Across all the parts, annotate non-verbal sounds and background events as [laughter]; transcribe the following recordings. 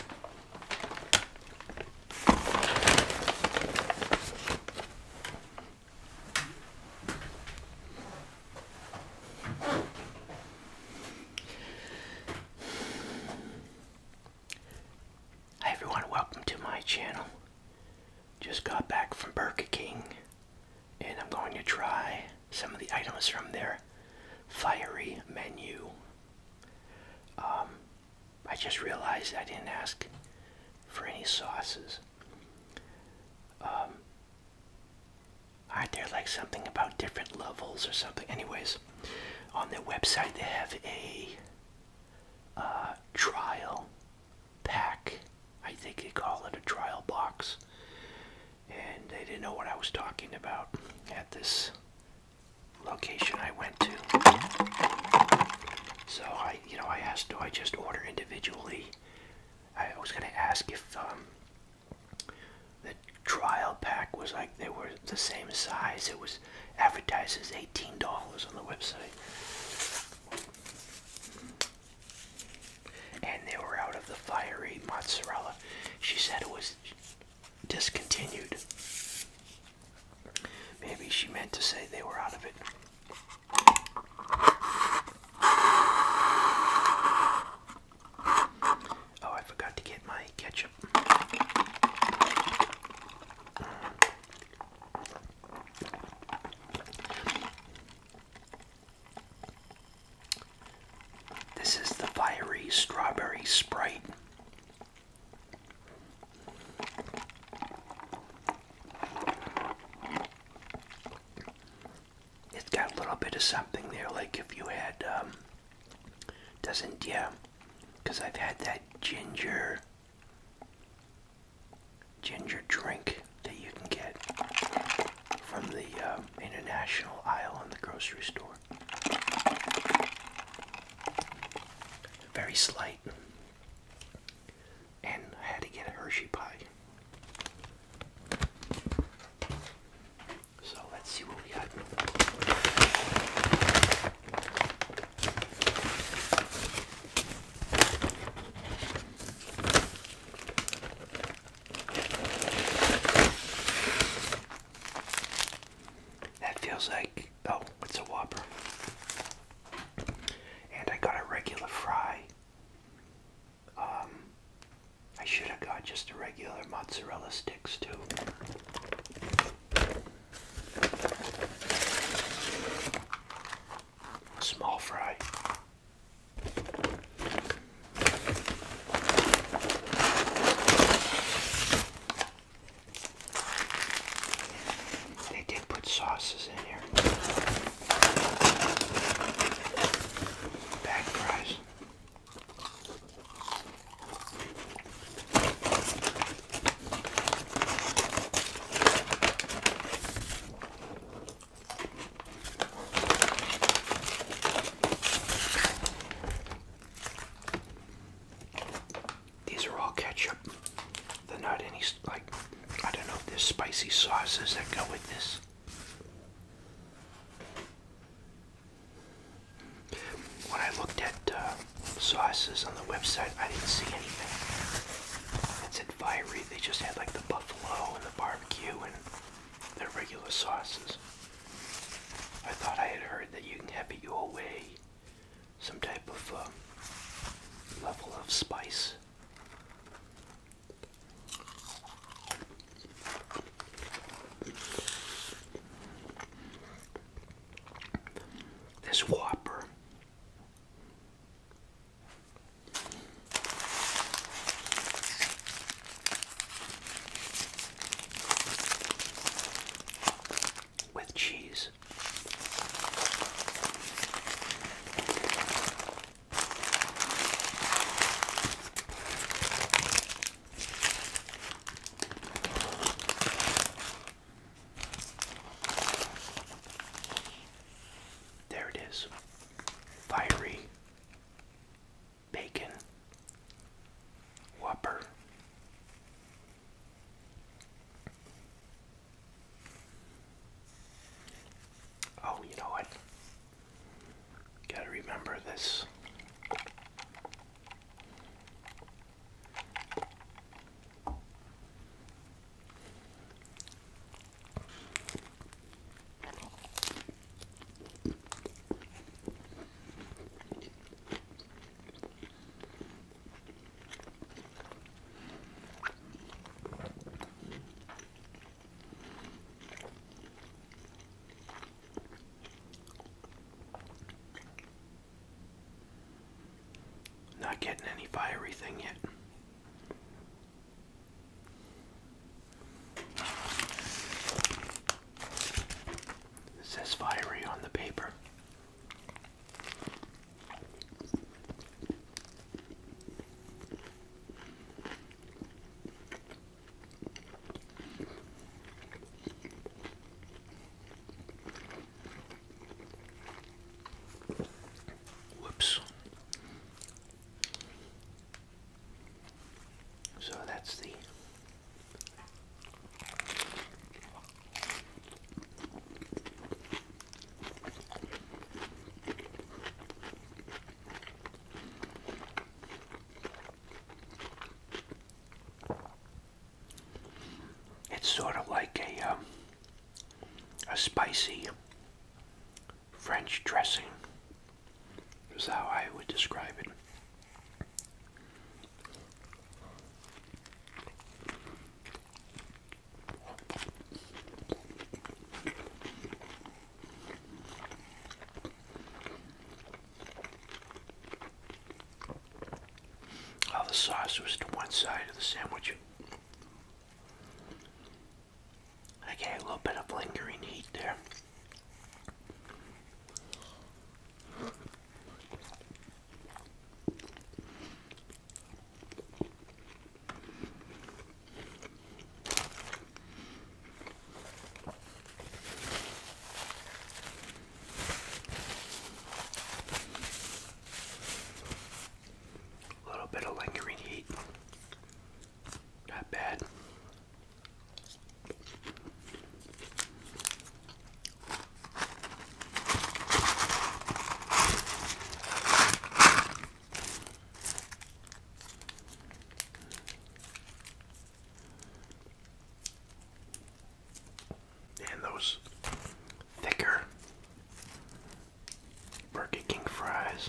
Hi everyone, welcome to my channel. Just got back from Burger King and I'm going to try some of the items from their fiery menu. Um, I just realized I didn't ask for any sauces. Um, aren't there like something about different levels or something? Anyways, on their website they have a uh, trial pack. I think they call it a trial box. And they didn't know what I was talking about at this location I went to. So I, you know, I asked, do I just order individually? I was going to ask if um, the trial pack was like they were the same size. It was advertised as eighteen dollars on the website, and they were out of the fiery mozzarella. She said it was discontinued. Maybe she meant to say they were out of it. Oh, I forgot to get my ketchup. This is the fiery strawberry sprite it's got a little bit of something there, like if you had, um, doesn't, yeah, because I've had that ginger, ginger drink that you can get from the uh, international aisle in the grocery store. Very slight. And I had to get a Hershey pie. So let's see what we got. That feels like, oh, it's a Whopper. And I got a regular fry. Um, I should have got just a regular mozzarella sticks too. Small fry. They did put sauces in here. Bag fries. These are all ketchup. They're not any, like, I don't know there's spicy sauces that go with this. When I looked at uh, sauces on the website, I didn't see anything. It said fiery. They just had like the buffalo and the barbecue and their regular sauces. I thought I had heard that you can have it your way. Some type of uh, level of spice. This Whopper with cheese. There it is. Fiery bacon whopper. Oh, you know what? Gotta remember this. Not getting any fiery thing yet. It says fiery on the paper. Whoops. So that's the it's sort of like a um, a spicy French dressing is how I would describe it. All the sauce was to one side of the sandwich. I get a little bit of lingering heat there. A little bit of lingering heat. Not bad. And those thicker Burger King fries.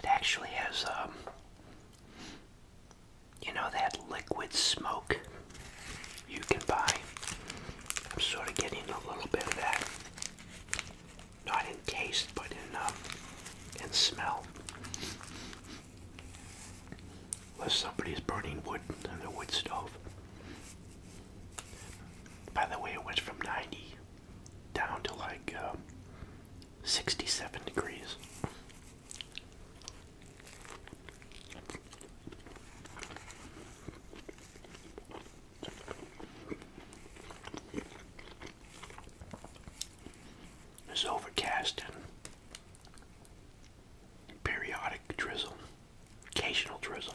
It actually has um, you know that liquid smoke you can buy. I'm sort of getting a little bit of that. Not in taste, but in, um, in smell. Unless somebody's burning wood on the wood stove. By the way, it went from 90 down to like uh, 67 degrees. It's overcast and periodic drizzle, occasional drizzle.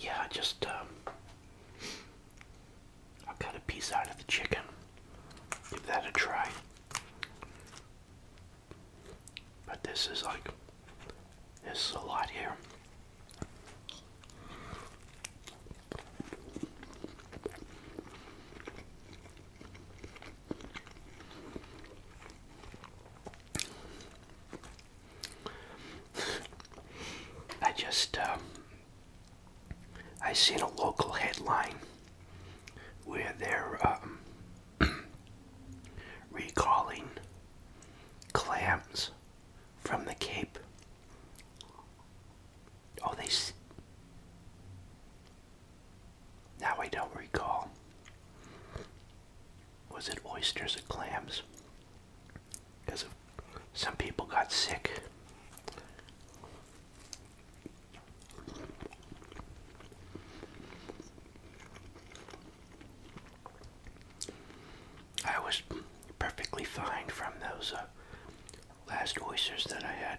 Yeah, just um, I cut a piece out of the chicken. Give that a try. But this is like there's a lot here. I just, uh, I seen a local headline where they're um, [clears throat] recalling Clams from the Cape. Oh, they. Now I don't recall. Was it oysters or clams? Because some people got sick. I was perfectly fine from those uh, last oysters that I had.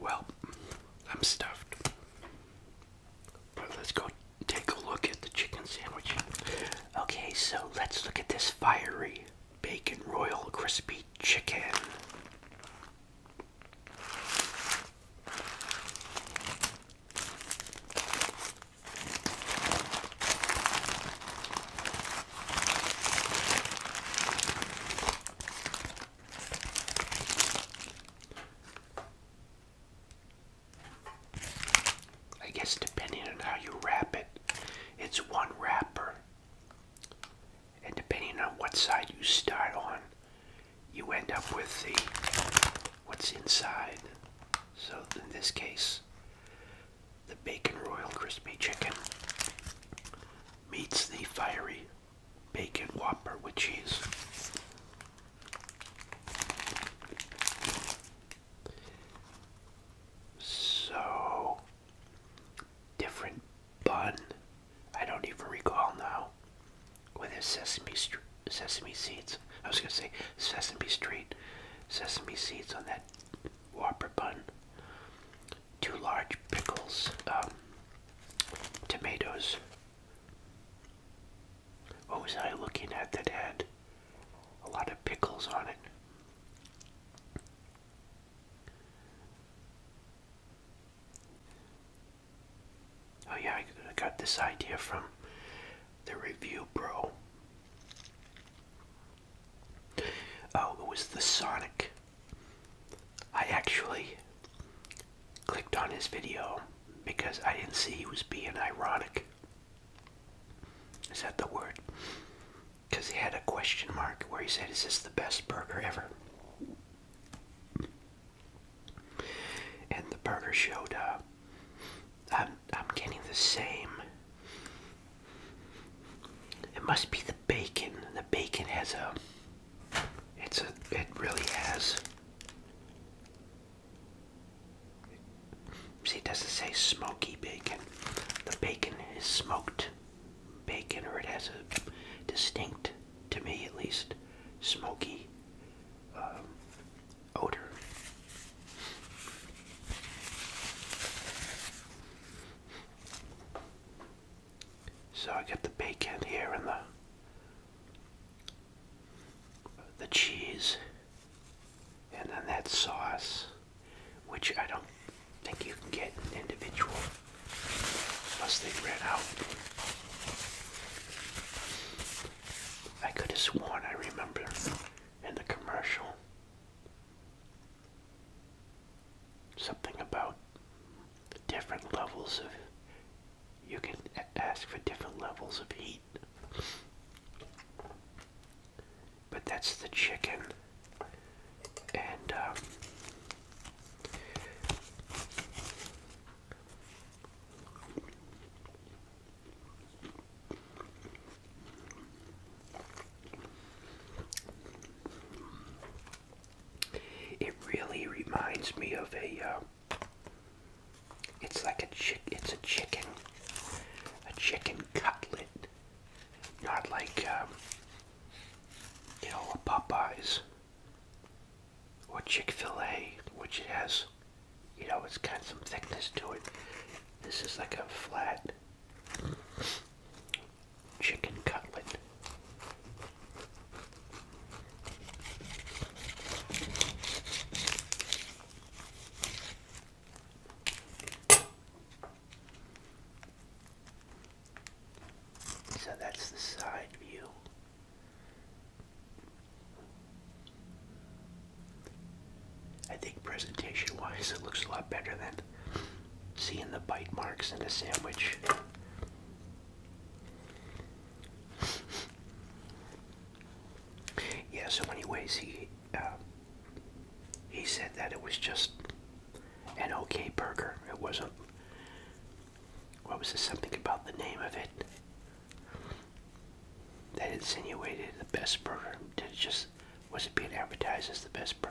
Well, I'm stuffed let's go take a look at the chicken sandwich. Okay, so let's look at this fiery bacon royal crispy chicken. I guess depending on how you wrap it, it's one wrapper. And depending on what side you start on, you end up with the what's inside. So in this case, the bacon royal crispy chicken meets the fiery bacon whopper with cheese. So, different bun. I don't even recall now. With a sesame Street sesame seeds. I was gonna say sesame street, sesame seeds on that whopper bun. Two large pickles, um, tomatoes, what was I looking at that had a lot of pickles on it? Oh, yeah, I got this idea from the review, bro. Oh, it was the Sonic. I actually clicked on his video because I didn't see he was being ironic. Is that the word? Because he had a question mark where he said, Is this the best burger ever? And the burger showed up. Uh, I'm, I'm getting the same. It must be the bacon. The bacon has a it's a it really has. See it doesn't say smoky bacon. The bacon is smoked bacon or it has a distinct, to me at least, smoky um, odor. So I got the bacon here and the the cheese, and then that sauce, which I don't think you can get an individual Must they ran out. I could have sworn I remember in the commercial something about different levels of you can ask for different levels of heat. But that's the chicken. And, um, it really reminds me of a uh, it's like a chick. It's a chicken, a chicken cutlet, not like um, you know a Popeyes or Chick Fil A, which has you know it's got some thickness to it. This is like a flat chicken cutlet. So that's the side view. I think presentation wise it looks a lot better than seeing the bite marks in the sandwich yeah, so anyways, he uh, he said that it was just an okay burger. It wasn't. What was it? Something about the name of it that insinuated the best burger. Did it just was it being advertised as the best burger?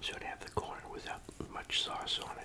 Should have the corn without much sauce on it.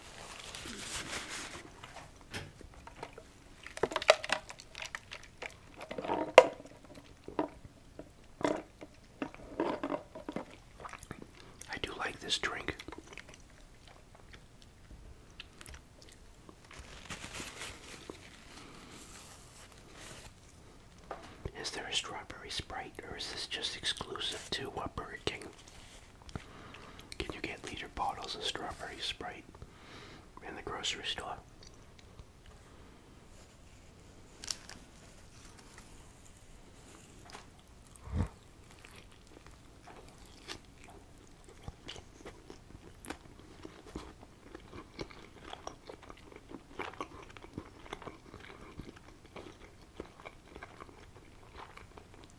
I do like this drink. Is there a strawberry sprite or is this just exclusive to uh, Burger King? Can you get liter bottles of strawberry Sprite in the grocery store?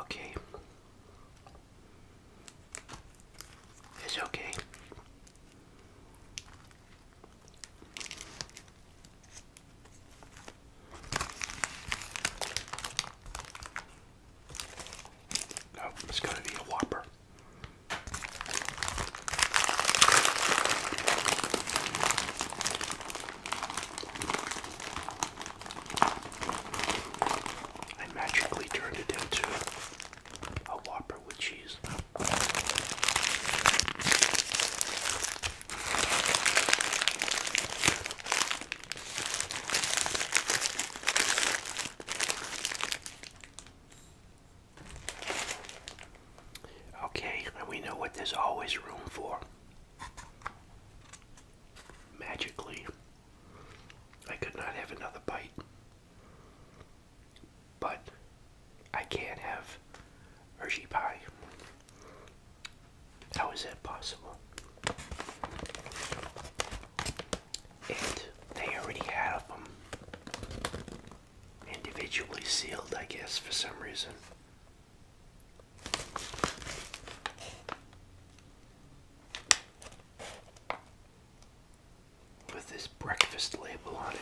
Okay. It's okay. Oh, it's going to be a whopper. I magically turned it into a Whopper with cheese. Okay, and we know what there's always room for. Magically, I could not have another bite. But I can't have Hershey pie. How is that possible? And they already had them individually sealed, I guess, for some reason. With this breakfast label on it.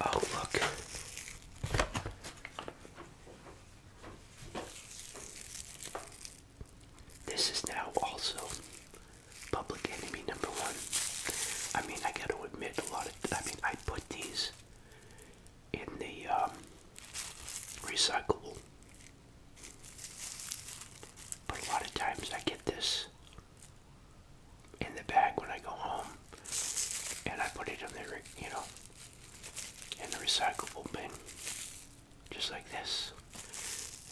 Oh, look. This is now also Public Enemy number one. I mean, I gotta admit, a lot of, I mean, I put these in the um, recyclable but a lot of times I get this in the bag when I go home and I put it in the, you know, in the recyclable bin, just like this.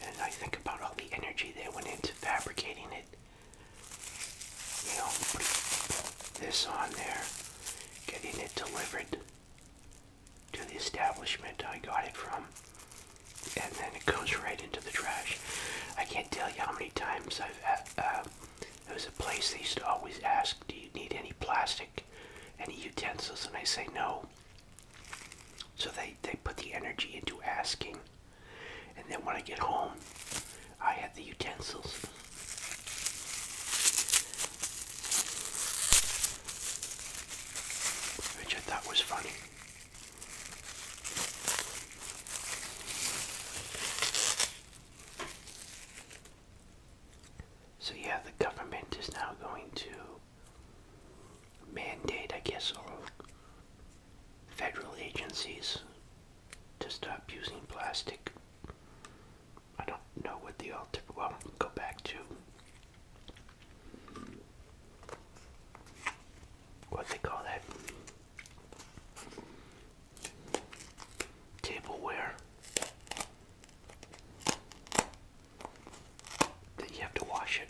And I think about all the energy that went into fabricating it. You know, putting this on there, getting it delivered, to the establishment I got it from, and then it goes right into the trash. I can't tell you how many times I've. Uh, uh there was a place they used to always ask, "Do you need any plastic, any utensils?" And I say no. So they they put the energy into asking, and then when I get home, I have the utensils which I thought was funny. So, yeah, the government is now going to mandate, I guess, all federal agencies to stop using plastic. I don't know what the alternative, well, go back to what they call that tableware that you have to wash it.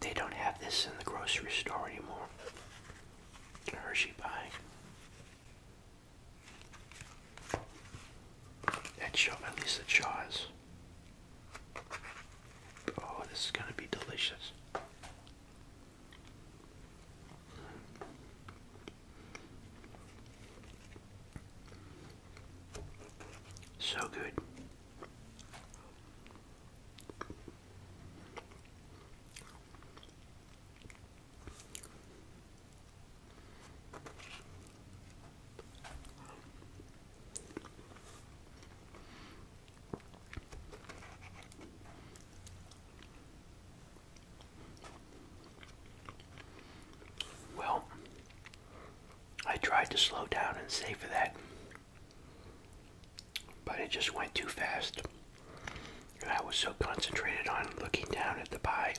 They don't have this in the grocery store anymore. Hershey pie. That show at least the jaws. Oh, this is gonna be delicious. So good. Well, I tried to slow down and for that but it just went too fast. And I was so concentrated on looking down at the pie.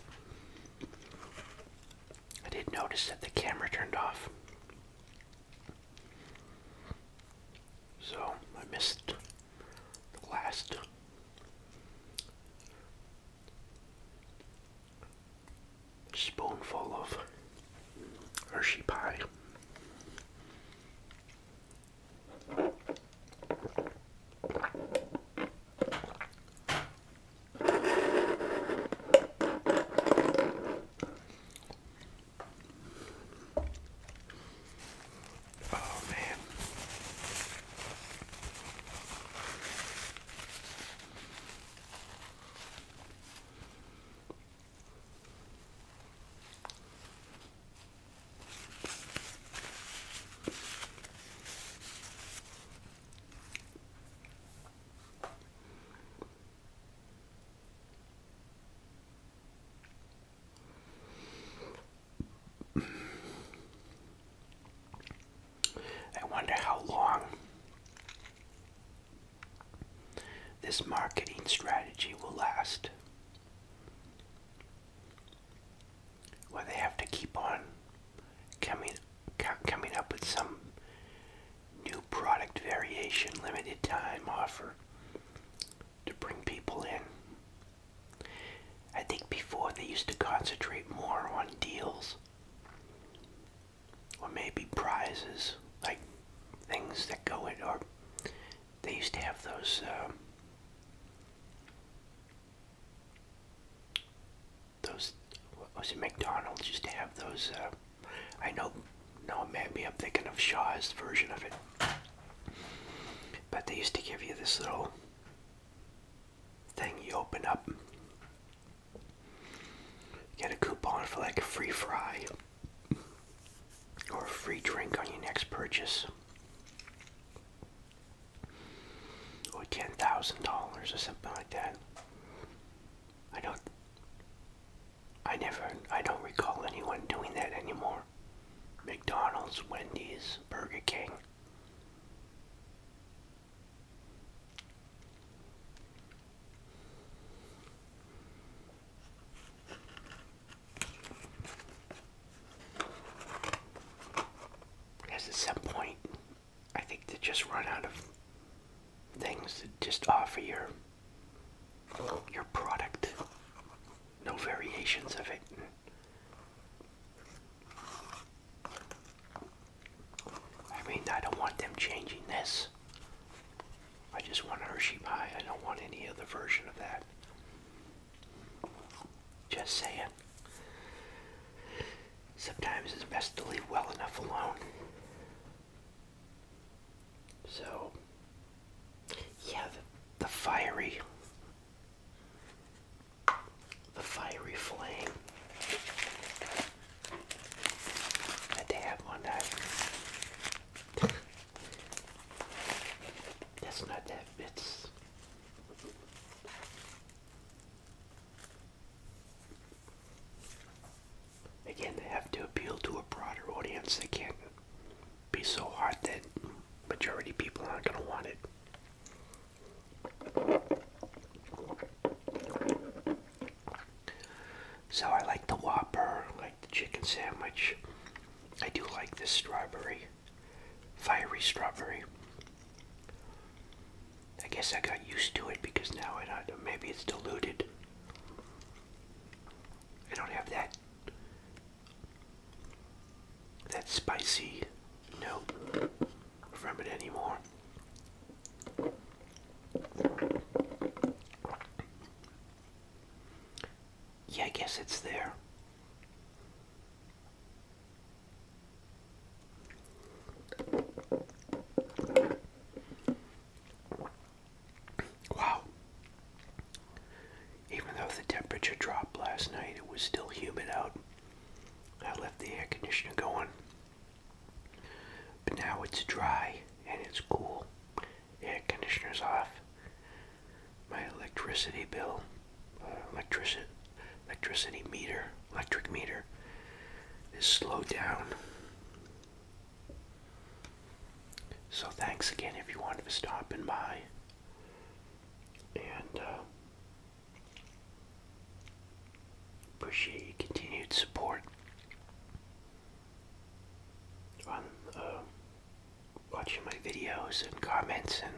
I did not notice that the camera turned off. So I missed the last spoonful of Hershey pie. Oh man. I wonder how long this marketing strategy will last. Where they have to keep on coming, coming up with some new product variation, limited time offer to bring people in. I think before they used to concentrate more on deals or maybe prizes, like things that go in, or they used to have those, uh, those, what was it, McDonald's used to have those, uh, I know, no, maybe I'm thinking of Shaw's version of it, but they used to give you this little thing you open up Get a coupon for like a free fry or a free drink on your next purchase. Or ten thousand dollars or something like that. I don't I never I don't recall anyone doing that anymore. McDonald's, Wendy's, Burger King at some point, I think they just run out of things to just offer your your product, no variations of it. I mean, I don't want them changing this. I just want Hershey pie. I don't want any other version of that. Just saying. Sometimes it's best to leave well enough alone. So, yeah, the, the fiery, the fiery flame I did have one that's not that it's Again, they have to appeal to a broader audience. They can't be so hard that majority people aren't going to want it. So I like the Whopper, like the chicken sandwich. I do like this strawberry, fiery strawberry. I guess I got used to it because now I don't, maybe it's diluted. I don't have that that spicy note from it anymore. Yeah, I guess it's there. Wow. Even though the temperature dropped last night, it was still humid out. I left the air conditioner going but now it's dry and it's cool. Air conditioner's off. My electricity bill, uh, electricity, electricity meter, electric meter is slowed down. So thanks again if you wanted to stop and buy. And uh, appreciate your continued support on uh, watching my videos and comments, and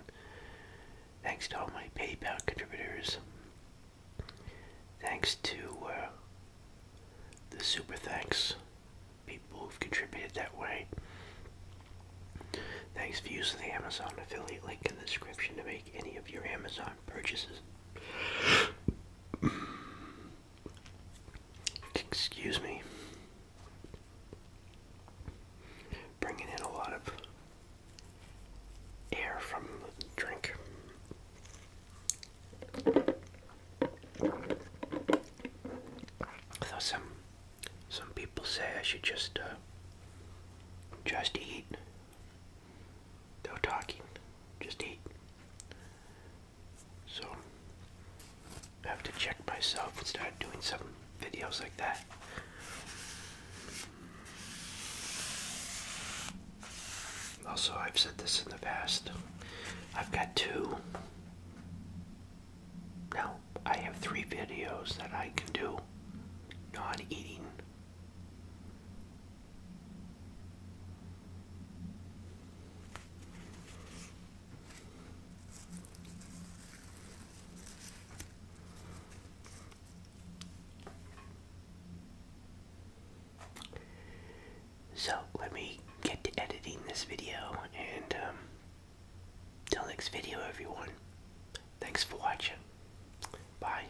thanks to all my PayPal contributors. Thanks to uh, the super thanks people who've contributed that way. Thanks for using the Amazon affiliate link in the description to make any of your Amazon purchases excuse me, bringing in a lot of air from the drink. Though some some people say I should just uh, just eat no talking, just eat. So, I have to check myself and start doing some videos like that. Also, I've said this in the past. I've got two. Now, I have three videos that I can do not eating. So let me get to editing this video and until um, next video everyone. Thanks for watching. Bye.